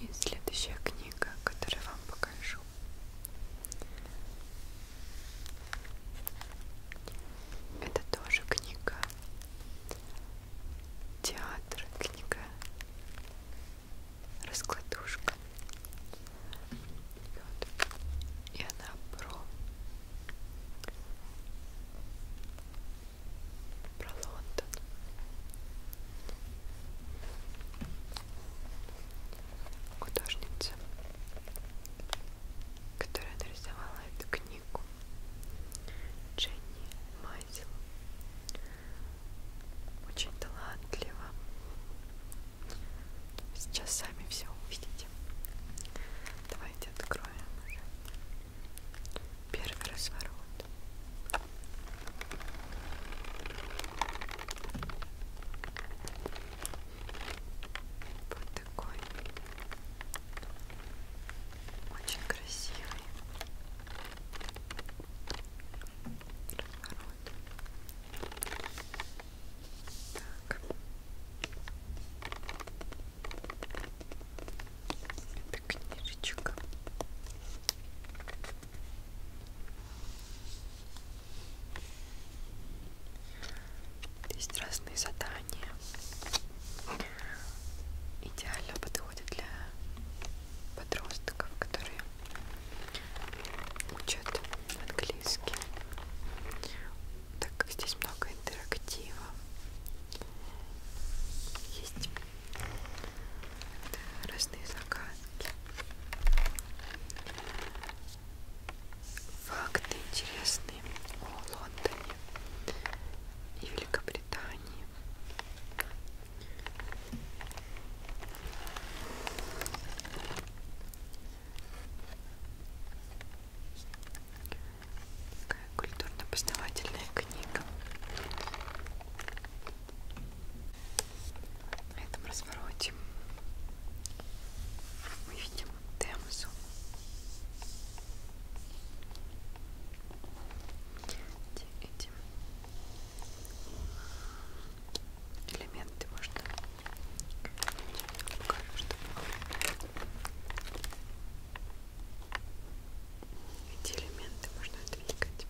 И следующая книга, которую вам покажу, это тоже книга театр, книга раскладушка. Вот. И она про про Лондон. Художница, которая нарисовала эту книгу, Дженни Майзел, очень талантлива. Сейчас сами все увидите. Давайте откроем. Первый разворот. Вот такой. Очень красивый. Разворот. Так. Это книжечка. Здесь разные задания. Идеально подходит для подростков, которые учат английский. Так как здесь много интерактива, есть разные загадки. Факты интересные о Лондоне и Великобритании. Такая культурно-познавательная книга. На этом развороте мы видим Темзу. Эти элементы можно покажу, чтобы эти элементы можно двигать.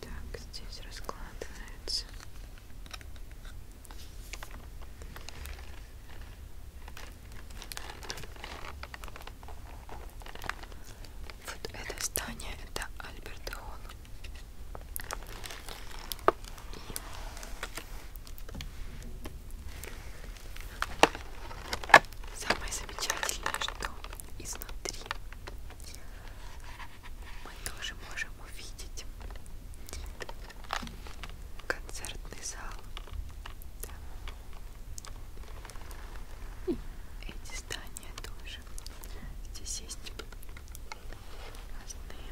Так, здесь раскладывается. Вот это здание, это Альберт Холл. И самое замечательное, что изнутри мы тоже можем увидеть концертный зал. Да. И эти здания тоже. Здесь есть разные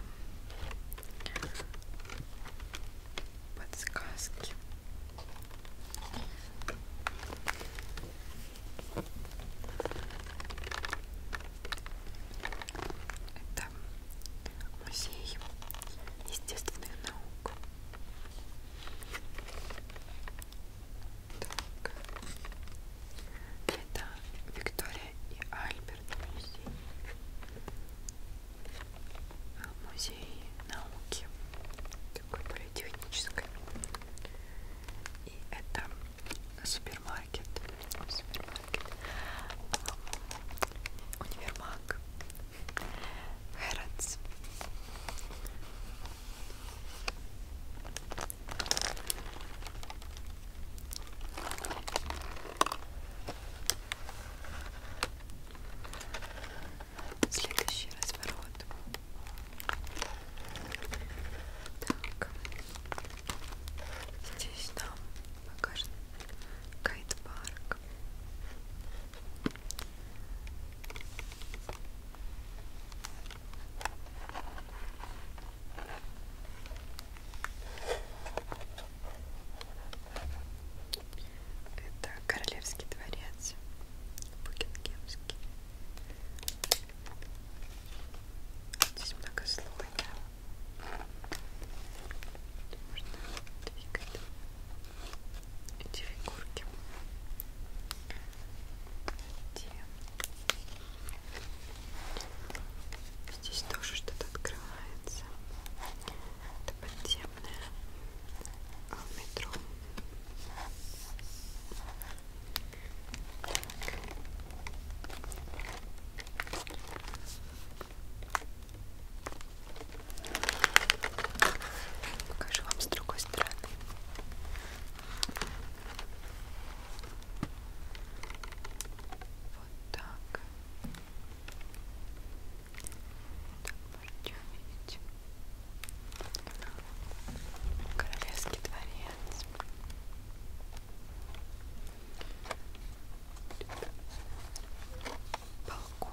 подсказки. Это музей естественных наук. Так. Это Виктория и Альберт музей. Музей а, науки. Такой более технической. И это супермаркет. Супермаркет. Универмаг. Херц. Следующий разворот. Так. Здесь нам покажет кайт-парк. Это королевский дворец Букингемский. Здесь многослойно. Можно двигать эти фигурки. Те. Здесь тоже что-то открывается. Это подземное а, метро. Покажу вам с другой стороны. Вот так. Так можете увидеть. Королевский дворец. Балкон.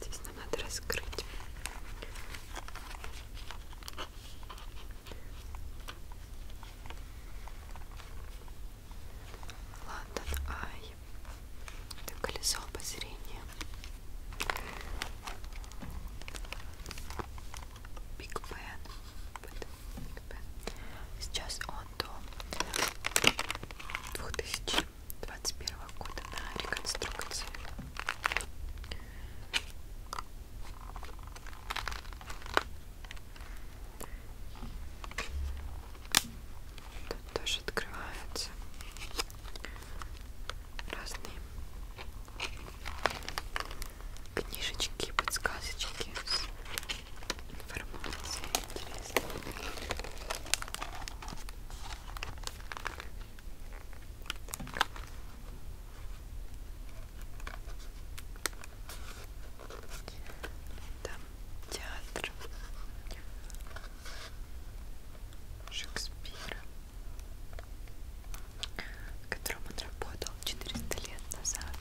Здесь нам надо раскрыть. Лондон Ай. Это колесо обозрения. Биг Бен. Сейчас он до 2021 года на реконструкции. Тут тоже открываются разные книжечки, подсказочки с информацией интересной. Там театр, Шекспира, в котором он работал 400 лет назад.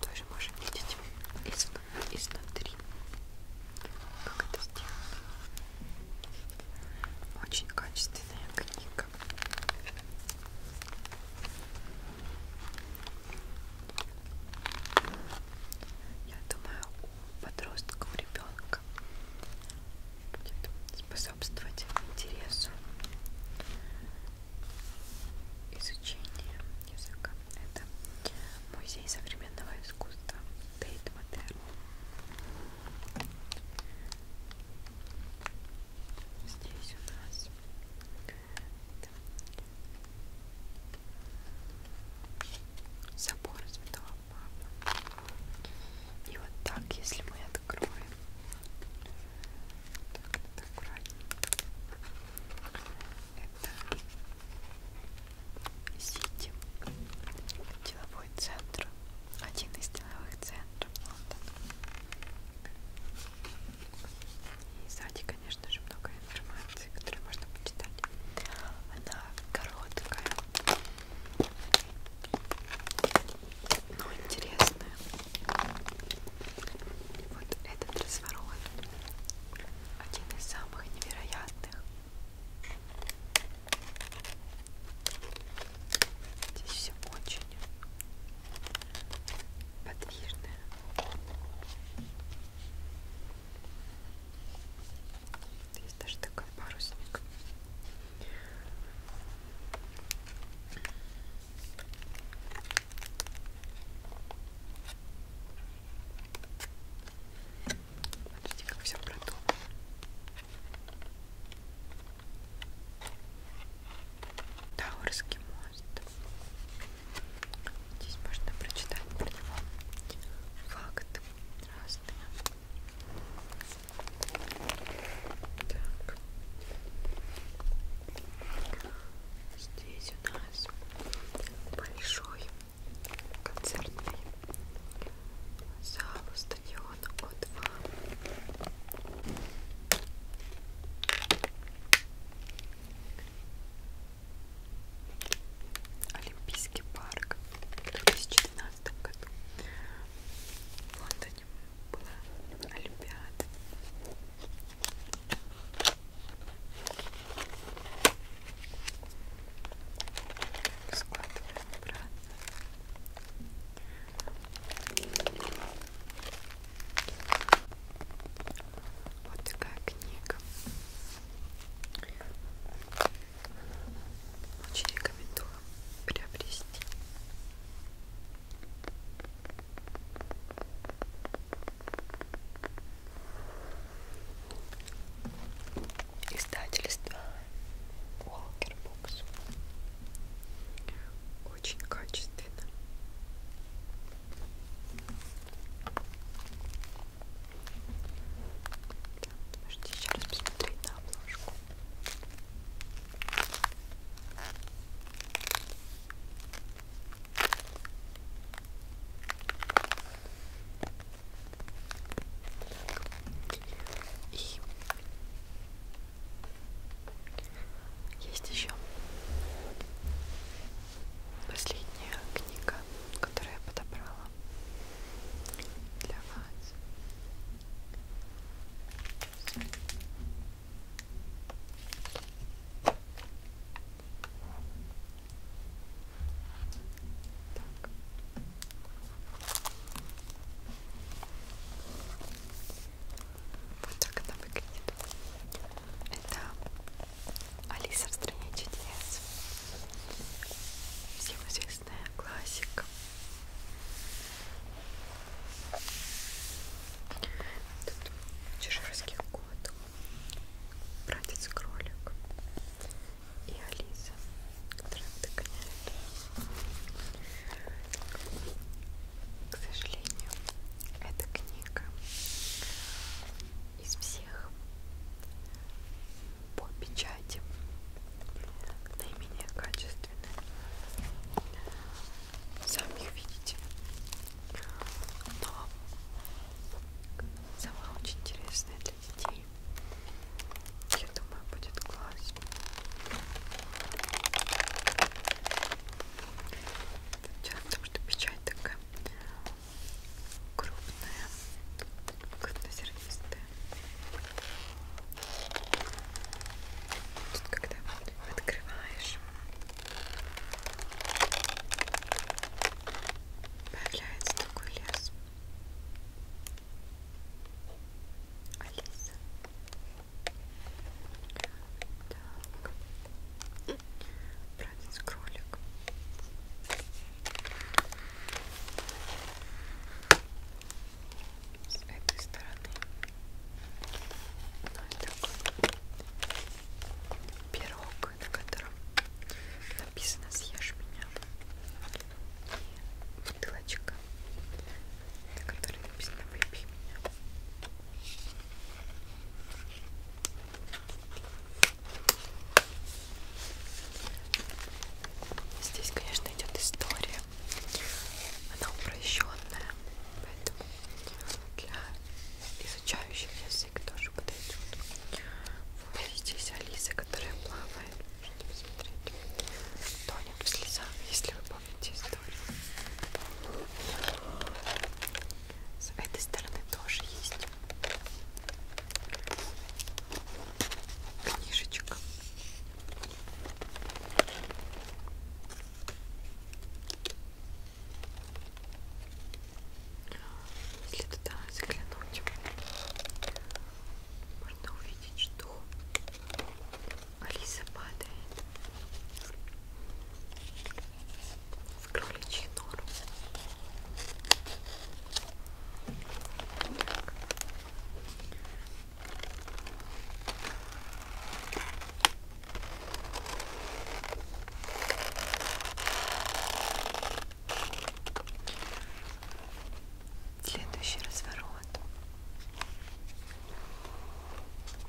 Тоже можем видеть из, изнутри, как это сделано. Очень качественная книга так. Я думаю, у подростков ребенка будет способствовать интересу изучения языка. Это музей современного искусства Тейт Модерн. Здесь у нас Собор Святого Папы. И вот так, если мы откроем, так, это аккуратненько, это Сити, деловой центр, один из деловых центров. И сзади, конечно же, много информации, которую можно почитать. Она короткая, но интересная. Вот этот разворот один из самых невероятных. Здесь все очень подвижная. Здесь даже такой парусник. Смотрите, как все продумано. Таурский мост. Здесь можно прочитать про него факты разные. Так. Здесь у нас большой концертный зал стадион О2. Олимпийский парк в 2012 году. В Лондоне была Олимпиада. Складываем обратно. Вот такая книга. Очень рекомендую приобрести. Издательство Walker Books очень качественно. Можете еще раз посмотреть на обложку. Так. И есть еще последняя книга, которую я подобрала для вас. Так. Вот так она выглядит. Это Алиса в стране чудес. Всем известная классика. Тут чеширский кот, братец кролик и Алиса, которая догоняет к сожалению, эта книга из всех по печати наименее качественная. Сами видите. Но сама очень интересная для детей. Я думаю, будет класс. Дело в том, что печать такая крупная, крупнозернистая. Тут когда открываешь, появляется такой лес. Алиса. Так. Братец кролик. С этой стороны. У нас такой пирог, на котором написано съешь меня. И бутылочка на которой написано «Влюби меня». Здесь, конечно, идет история. Она упрощенная, поэтому для а, изучающих язык тоже подойдет. Вот здесь Алиса, которая плавает. Можете посмотреть. Тонет в слезах, если вы запомните историю. С этой стороны тоже есть книжечка. Если туда заглянуть, можно увидеть, что Алиса падает в кроличий норм. Следующий разворот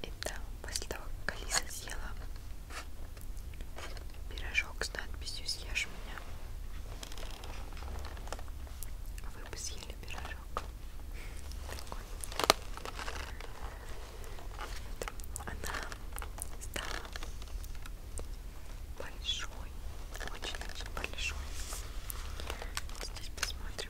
и да, после того, как Алиса съела пирожок с надписью «Съешь меня», вы бы съели пирожок. Такой. Она стала большой, очень-очень большой. Здесь посмотрим.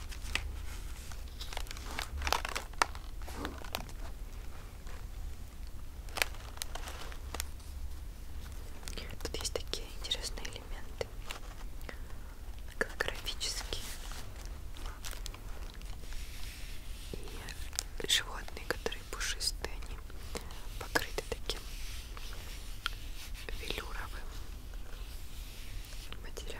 Тут есть такие интересные элементы голографические и животные, которые пушистые, они покрыты таким велюровым материала.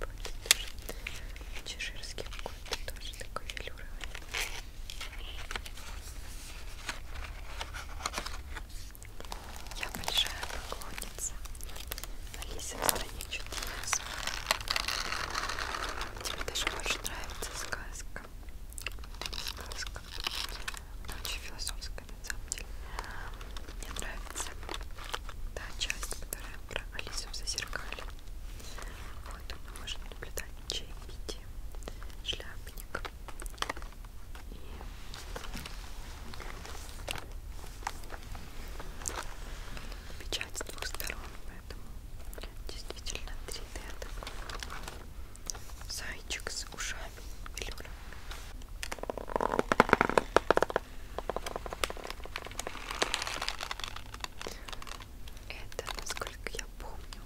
Вот, чеширский какой-то тоже такой велюровый. Я большая поклонница Алиса в стране чудес. Тебе даже больше нравится сказка. Сказка. Она очень философская на самом деле. Мне нравится та часть, которая про Алису в зазеркале. Вот мы можем наблюдать чаепитие, шляпник и печать с двух сторон, поэтому действительно 3D такой зайчик с ушами. Люблю. Это, насколько я помню,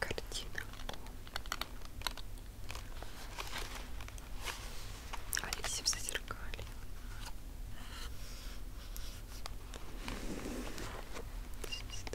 картина о Алисе в зазеркале. Здесь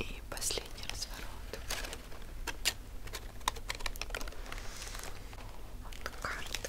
И последний разворот. Вот карта.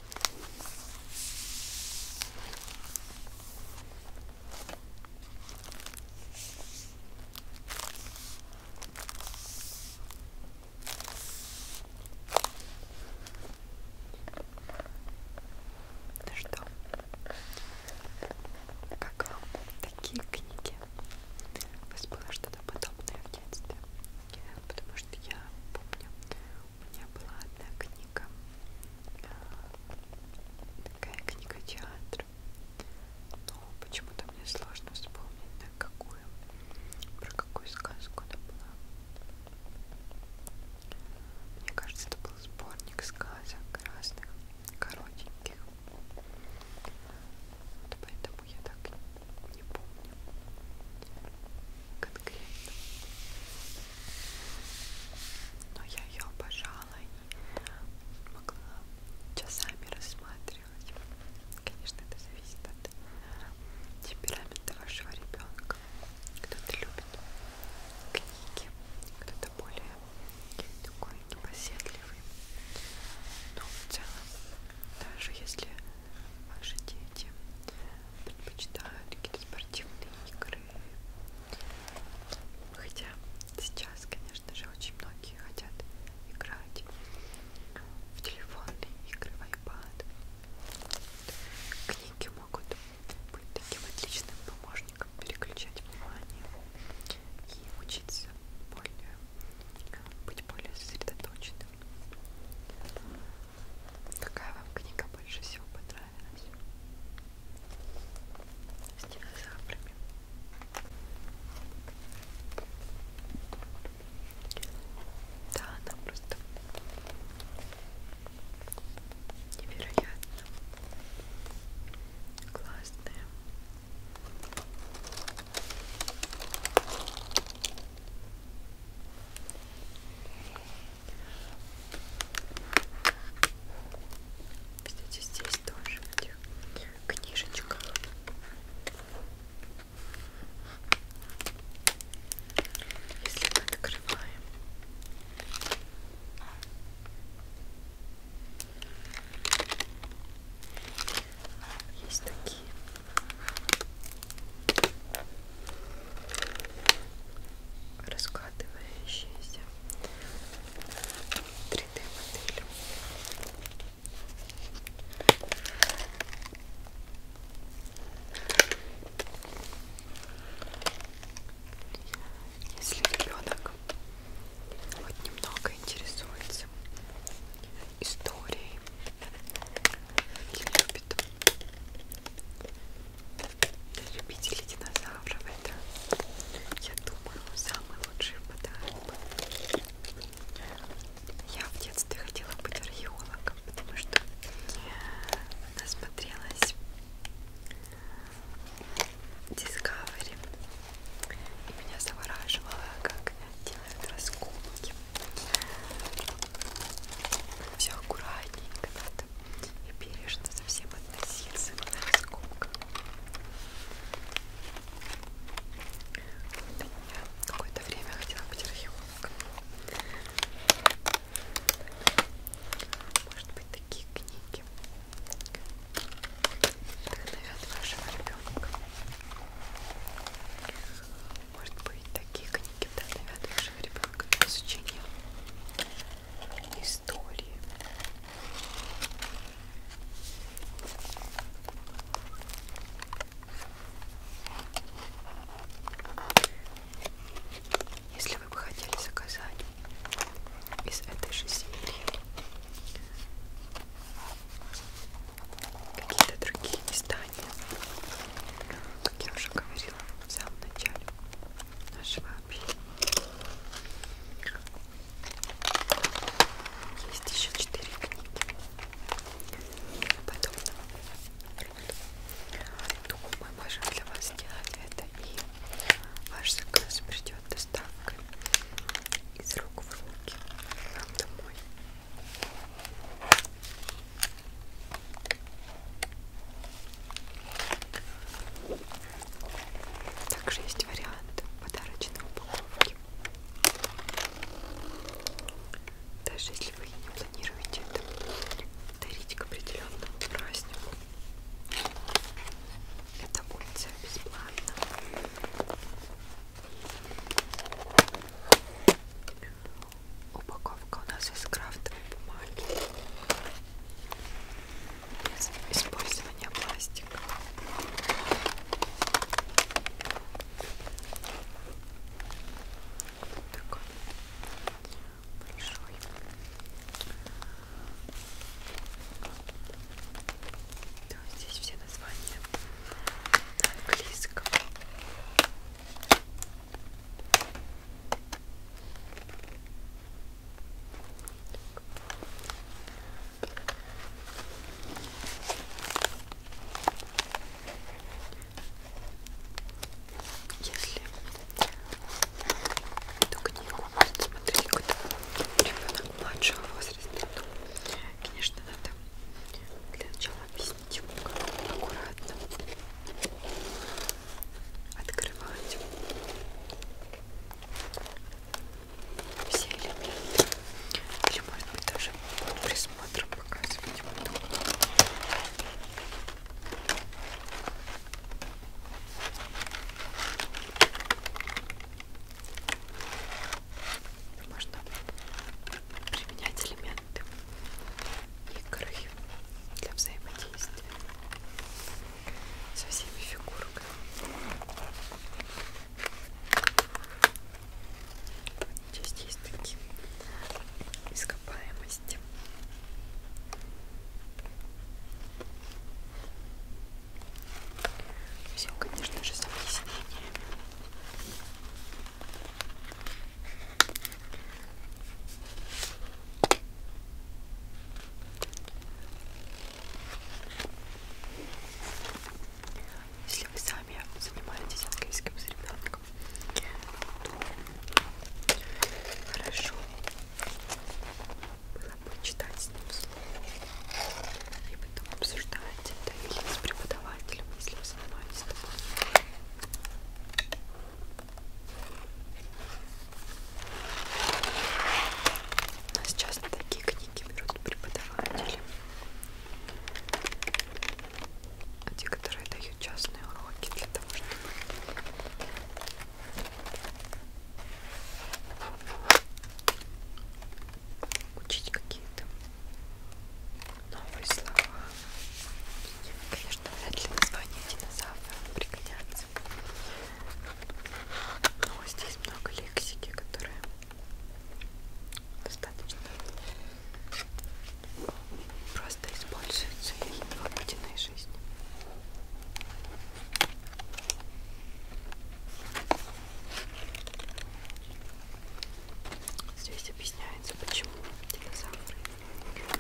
Ну что, как вам такие книги? У вас было что-то подобное в детстве? Потому что я помню, у меня была одна книга книга. Такая книга театра. Но ну, почему-то мне сложно вспомнить, на какую, про какую сказку она была. Мне кажется, это был сборник сказок разных, коротеньких. Вот поэтому я так не помню конкретно. Но я ее обожала и могла часами рассматривать. Конечно, это зависит от темперамента вашего ребенка. Кто-то любит книги, кто-то более такой непоседливый. Но в целом, даже если ваши дети предпочитаю какие-то спортивные игры. Хотя сейчас, конечно же, очень многие хотят играть в телефонные игры, в iPad. Книги могут быть таким отличным помощником переключать внимание и учиться более, быть более сосредоточенным. Какая вам книга больше всего понравилась? С динозаврами. Да, она просто невероятно классная. Кстати, здесь тоже в этих книжечках если мы открываем есть такие раскладывающиеся 3D модели. Если ребенок хоть немного интересуется историей и любит для любителей динозавров это, я думаю, самый лучший подарок. Я в детстве хотела быть археологом, потому что насмотрелась Discovery и меня завораживало, как делают раскопки все аккуратненько надо и бережно совсем относиться к раскопкам. Вот я какое-то время хотела быть археологом. Может быть, такие книги вдохновят вашего ребенка. Может быть, такие книги вдохновят вашего нашего ребенка для изучения истории. Если вы бы хотели заказать из этой же серии какие-то другие места, питания. Как я уже говорила в самом начале нашего общения. Есть еще четыре книги. Потом Думаю, мы можем для вас сделать это и ваш заказ придет доставкой из рук в руки нам домой. Также есть вариант подарочной упаковки. Даже если вы не планируете это дарить к определенному празднику, эта опция бесплатна. Упаковка у нас из крафтовой бумаги. Без использования пластика. Вот такой большой. Да, здесь все названия на английском. Если эту книгу может смотреть какой-то ребенок младшего возраста, то, конечно, надо для начала объяснить тихонько, типа, аккуратно открывать все элементы или может быть даже под присмотром показывать буду можно применять элементы игры для взаимодействия со всеми фигурками. Здесь есть такие ископаемости. Все, конечно же, с объяснениями. Если вы сами занимаетесь английским с ребенком, то хорошо было бы читать с ним слово и потом обсуждать это или с преподавателем, если вы со мной с тобой. Но сейчас на такие книги берут преподаватели. А те, которые дают частные уроки для того, чтобы учить какие-то новые слова. Конечно, вряд ли название динозавра пригодятся. Но здесь много лексики, которые достаточно просто используются в обыденной жизни. Здесь объясняю нравится, почему динозавры вымерли.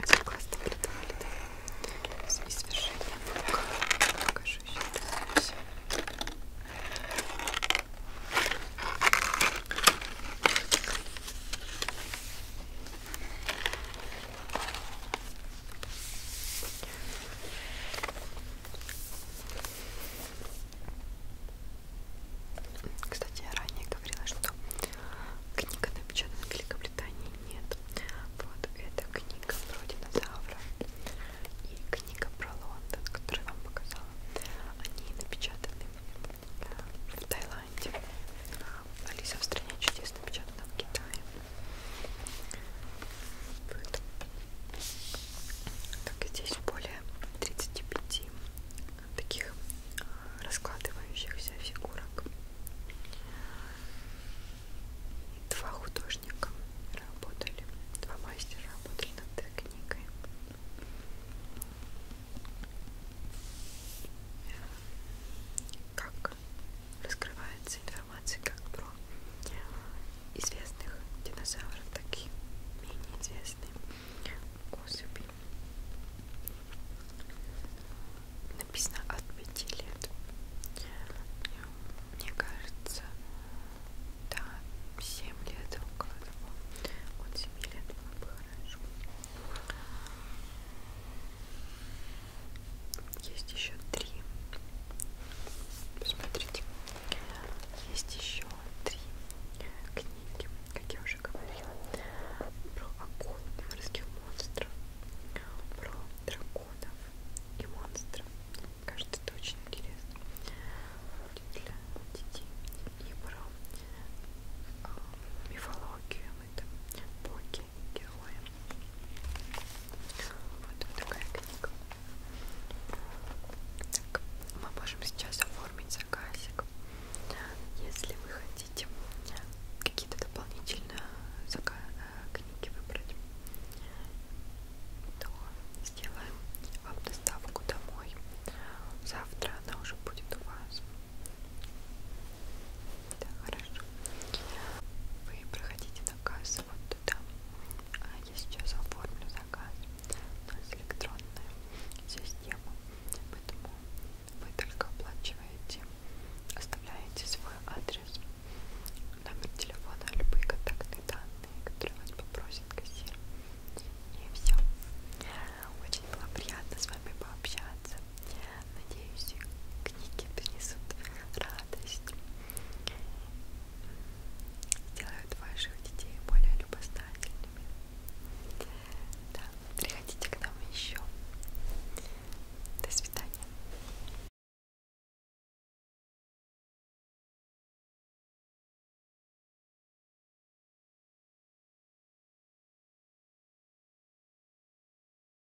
Очень классно придумали, да? И свершение наука. Покажу еще все. Кстати, я ранее говорила, что книга напечатана в Великобритании нет. Вот это книга про динозавров и книга про Лондон, которую я вам показала. Они напечатаны э, в Таиланде. Алиса в стране чудес напечатана в Китае. Вот. Так, здесь более 35 таких раскладывающихся фигурок. Два художника работали, два мастера работали над этой книгой. Как раскрывается информация как про известных динозавров, так и менее известные особи. Написано от пяти лет. Мне кажется, да, 7 лет около того. От 7 лет было бы хорошо. Есть еще три. Смотрите, есть еще три книги, как я уже говорила, про акул, морских монстров, про драконов и монстров. Кажется, это очень интересно для детей. И про э, мифологию, это боги, маленькие герои. Вот такая книга. Так, мы можем сейчас оформить заказик. Если вы хотите какие-то дополнительные э, книги выбрать, то сделаем вам доставку домой. Завтра она уже будет у вас. Да, хорошо. Вы проходите заказ вот туда. А я сейчас оформлю заказ. У нас электронная система. Поэтому вы только оплачиваете, оставляете свой адрес, номер телефона, любые контактные данные, которые вас попросит кассир. И все. Очень было приятно с вами пообщаться. Надеюсь, книги принесут радость, сделают ваших детей более любознательными. Да, приходите к нам еще. До свидания.